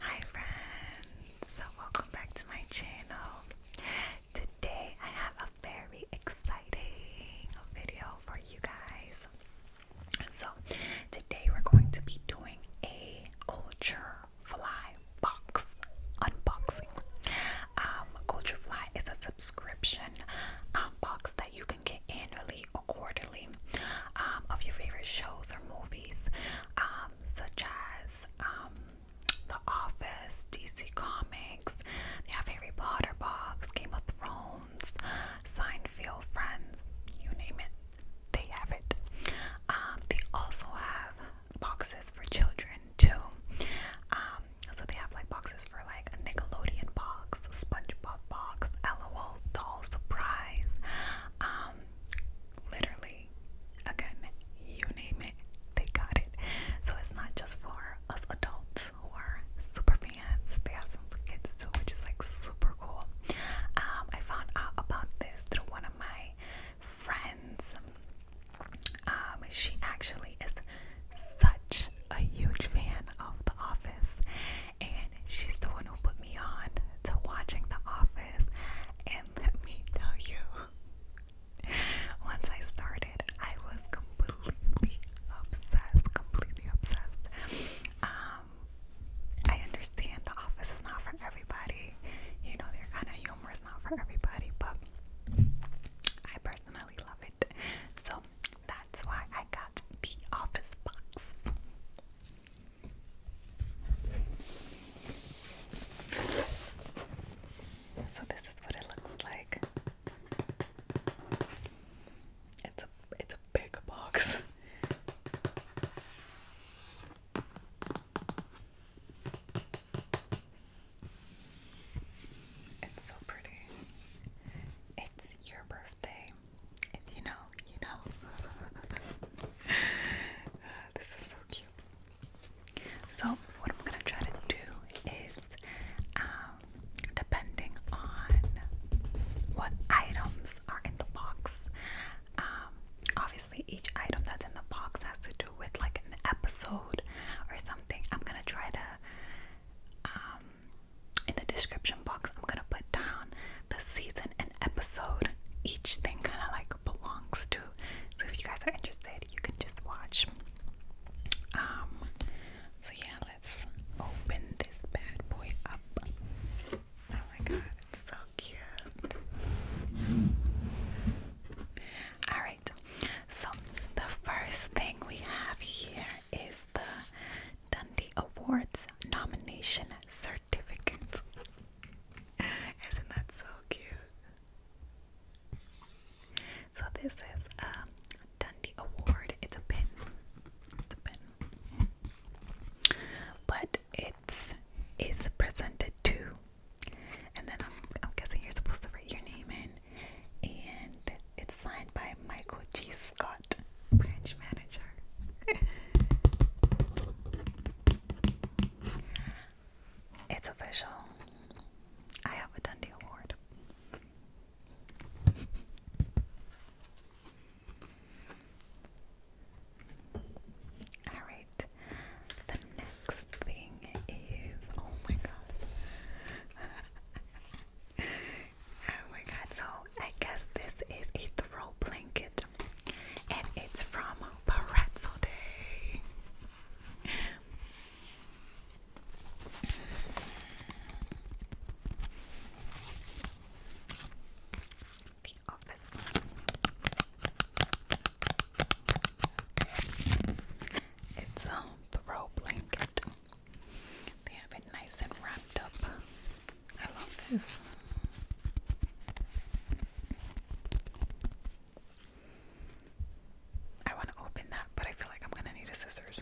Hi friends, welcome back to my channel. Today I have a very exciting video for you guys. So today we're going to be doing a culture fly box unboxing. Um, culture fly is a subscription um, box that you can get annually or quarterly regularly um, of your favorite shows or movies, um, such as um, The Office, DC Comics, they have Harry Potter box, Game of Thrones, Seinfeld, Friends, you name it, they have it. Um, they also have boxes for children too. Um, so they have like boxes for like a Nickelodeon box, a SpongeBob box, LOL doll surprise, um, literally, again, you name it, they got it. So it's not just for us adults who are super fans, they have some kids too, which is like super cool. Um, I found out about this through one of my friends. Um, she actually is such a huge fan of The Office, and she's the one who put me on to watching The Office. And let me tell you, once I started, I was completely obsessed, completely obsessed. Um, I understand The Office is not for everybody. You know, their kind of humor is not for everybody, but I personally love it. So that's why I got the Office box. So this is what it looks like. It's a it's a big box. It's so pretty. It's your birthday you know, you know. this is so cute. So, what I'm gonna try to do is, um, depending on what items are in the box, um, obviously each item that's in the box has to do with like an episode or something. I'm gonna try to um, in the description box, I'm gonna put down the season and episode each thing kind of like belongs to. So if you guys are interested, you can just watch. Um, so yeah, let's open this bad boy up. Oh my god, it's so cute. Alright, so the first thing we have here is the Dundee Awards nomination certificate. Isn't that so cute? So this is um Dundee Award. It's a pin. It's a pin. But it is presented to and then I'm I'm guessing you're supposed to write your name in and it's signed by Michael Jesus. Scott, branch manager. it's official. I have a Dundee Award. Alright, the next thing is oh my god. Oh my god, so I guess this is a throw blanket and it's from Pretzel Day. It's a um, throw blanket nice and wrapped up. I love this. I want to open that, but I feel like I'm gonna need a scissors.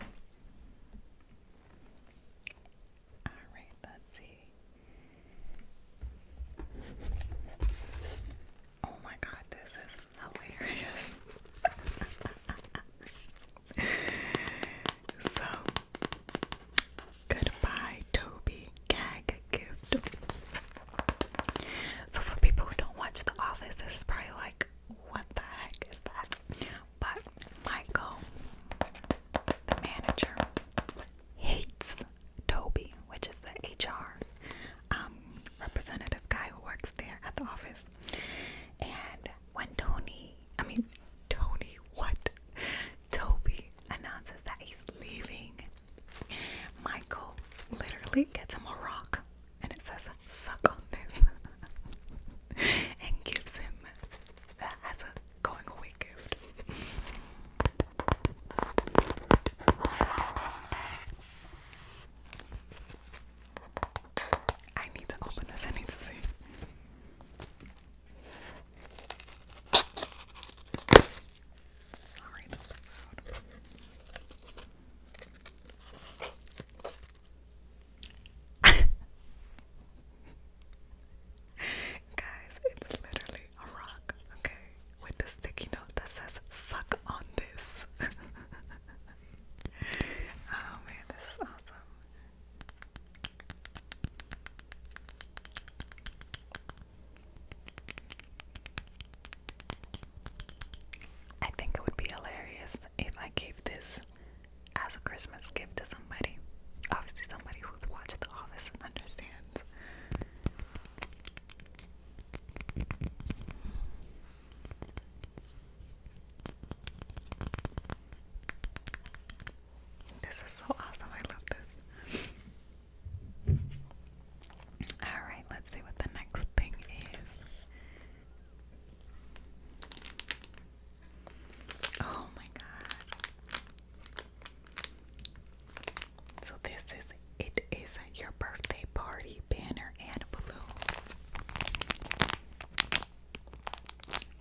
Alright, let's see. Oh my god, this is hilarious. so goodbye Toby gag gift. So for people who don't watch The Office, this is probably like, what the heck is that? But Michael, the manager, hates Toby, which is the HR um, representative guy who works there at the office. And when Tony, I mean, Tony, what? Toby announces that he's leaving, Michael literally gets him a rock and it says, Suck on this, and gives him that as a going away gift. I need to open this. I need to see. Sorry Guys, it's literally a rock, okay? With the sticky note that says suck on this. oh man, this is awesome. I think it would be hilarious if I gave this as a Christmas gift to somebody. Obviously, somebody who's watched The Office understands. This is so awesome. I love this. Alright, let's see what the next thing is. Oh my god. So, this is it is your birthday party banner and balloons.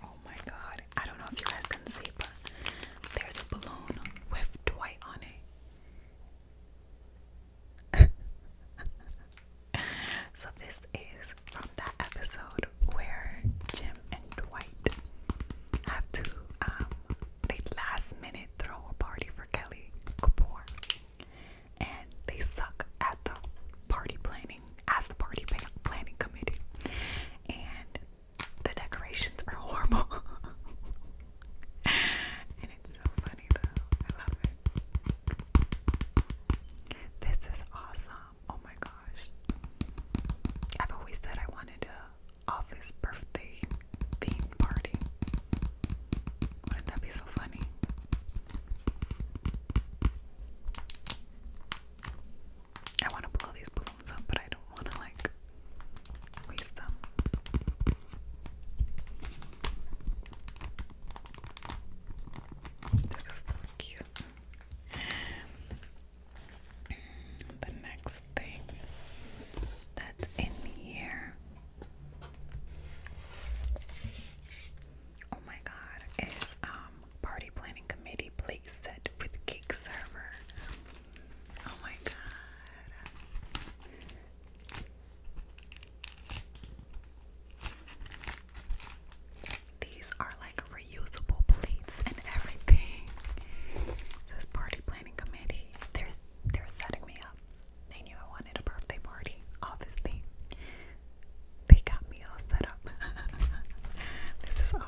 Oh my god. I don't know if you guys can see, but there's a balloon with Dwight on it. so, this is from that episode where Jim and Dwight have to, um, they last minute throw a party for Kelly Kapoor. And they suck at them party planning as the party planning committee, and the decorations are horrible. and it's so funny though. I love it. This is awesome. Oh my gosh. I've always said I wanted a office birthday theme party. Wouldn't that be so funny? I want to blow these balloons up, but I don't want to like waste them. This is so cute. The next thing that's in here. Oh my god, is um Party planning committee plate set with cake server. Oh my god. These are like reusable plates and everything. This party planning committee, they're they're setting me up. They knew I wanted a birthday party, obviously. They got me set up. this is awesome.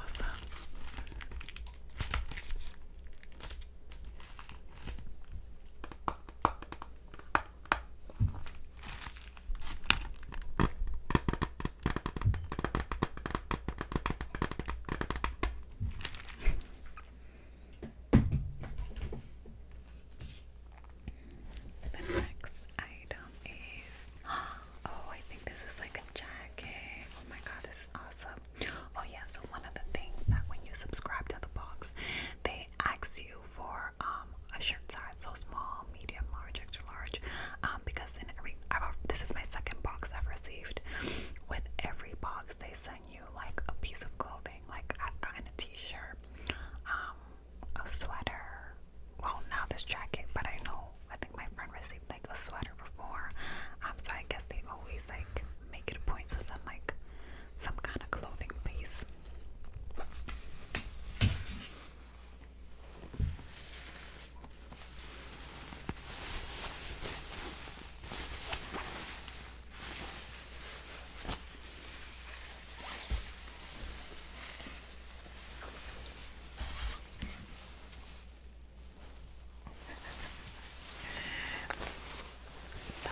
The next item is oh, I think this is like a jacket. Oh my god, this is awesome. Oh yeah, so one of the things that when you subscribe to the box, they ask you for um a shirt size, so small, medium, large, extra large. Um, because in every i this is my second box I've received. With every box, they send you like a piece of clothing. Like I've gotten a T-shirt. Um, a sweater. Well, not this jacket, but I know I think my friend received like a sweater before. Um, so I guess they always like make it a point to send like some kind of clothing piece. So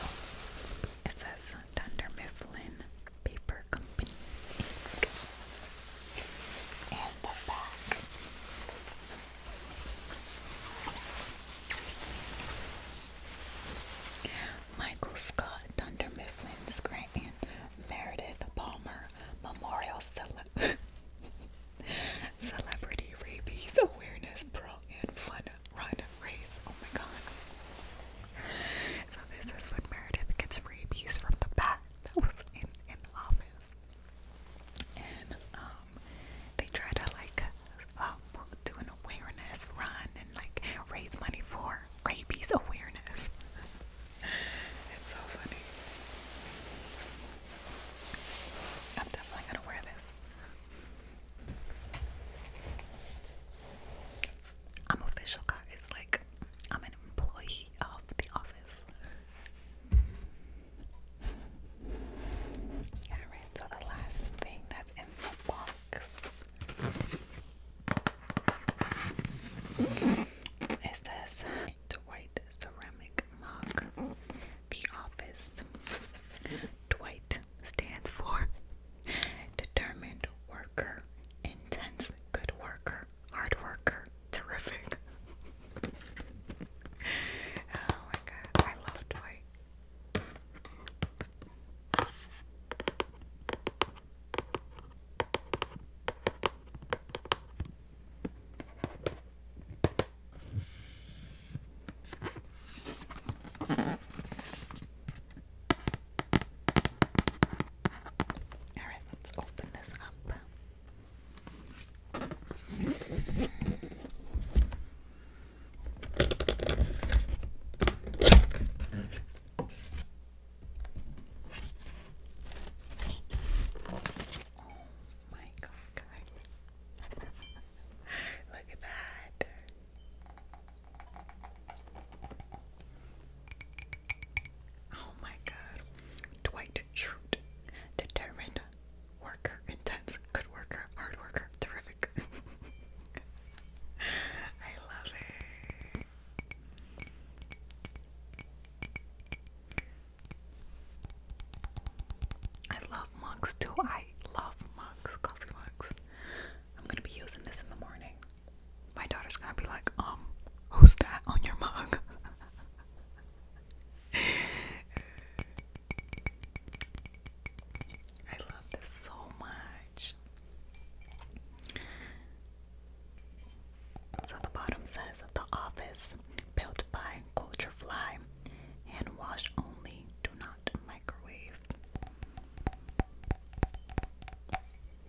it says Dunder Mifflin Paper Company Inc. the back. Michael Scott, Dunder Mifflin Scranton, Meredith Palmer Memorial Cele Celebrity Rabies Awareness Pro and Fun Run Race. Oh my god. So this is when Meredith gets rabies from the bat that was in, in the office. And um they try to like uh, do an awareness run and like raise money for rabies awareness. it's so funny. I'm definitely gonna wear this. I'm official, guys. Like, I'm an employee of the office. Alright, so the last thing that's in the box it says the Ceramic Mug. The office. Dwight stands for determined worker, intense good worker, hard worker, terrific. oh my god, I love Dwight. All right, let's open this up my god. Look at that. Oh my god. Dwight Schrute. Determined worker, intense, good worker, hard worker, terrific I love it. I love mugs too. I love mugs, coffee mugs. I'm gonna be using this in the morning. My daughter's gonna be like, um, who's that on your mug? I love this so much. So the bottom says the office built by Culturefly, hand wash only, do not microwave.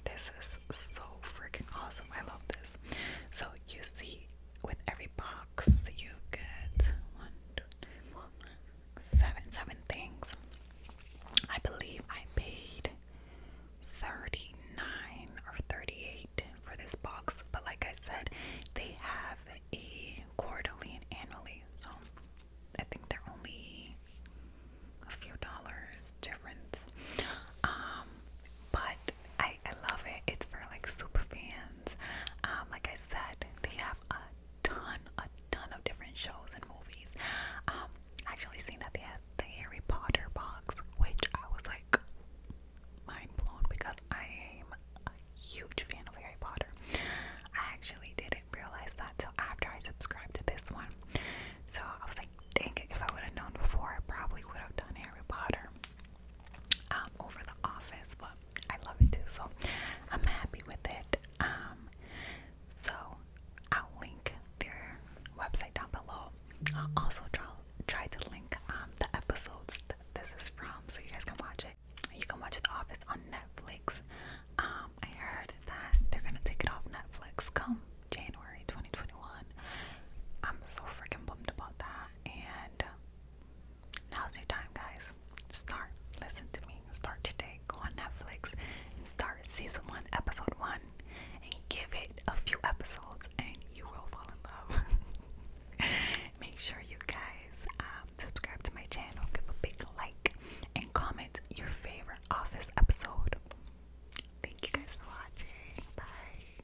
This is so freaking awesome. I love this. So you see with every box you get one, two, three, four, five, seven seven things. I believe I paid thirty nine or thirty eight for this box, but like I said, they have a quarterly and annually, so I think they're only a few dollars difference. Um, but I I love it. It's for like super fans. Um, like I said, they have a ton, a ton of different shows and movies. Um, I actually seen that they had the Harry Potter box, which I was like mind blown because I am a huge fan of Harry Potter. I actually didn't realize that until after I subscribed to this one. So I was like, dang it, if I would have known before, I probably would have done Harry Potter um, over The Office, but I love it too, so I'm happy with it. Um, so I'll link their website down below. I'll also try, to link um, the episodes that this is from so you guys can watch it. You can watch The Office on Netflix. Um, I heard that they're gonna take it off Netflix come January 2021. I'm so freaking bummed about that. And now's your time, guys. Start. Listen to me. Start today. Go on Netflix and start season one, episode one, and give it a few episodes, and you will fall in love. Make sure you guys um, subscribe to my channel, give a big like, and comment your favorite Office episode. Thank you guys for watching. Bye.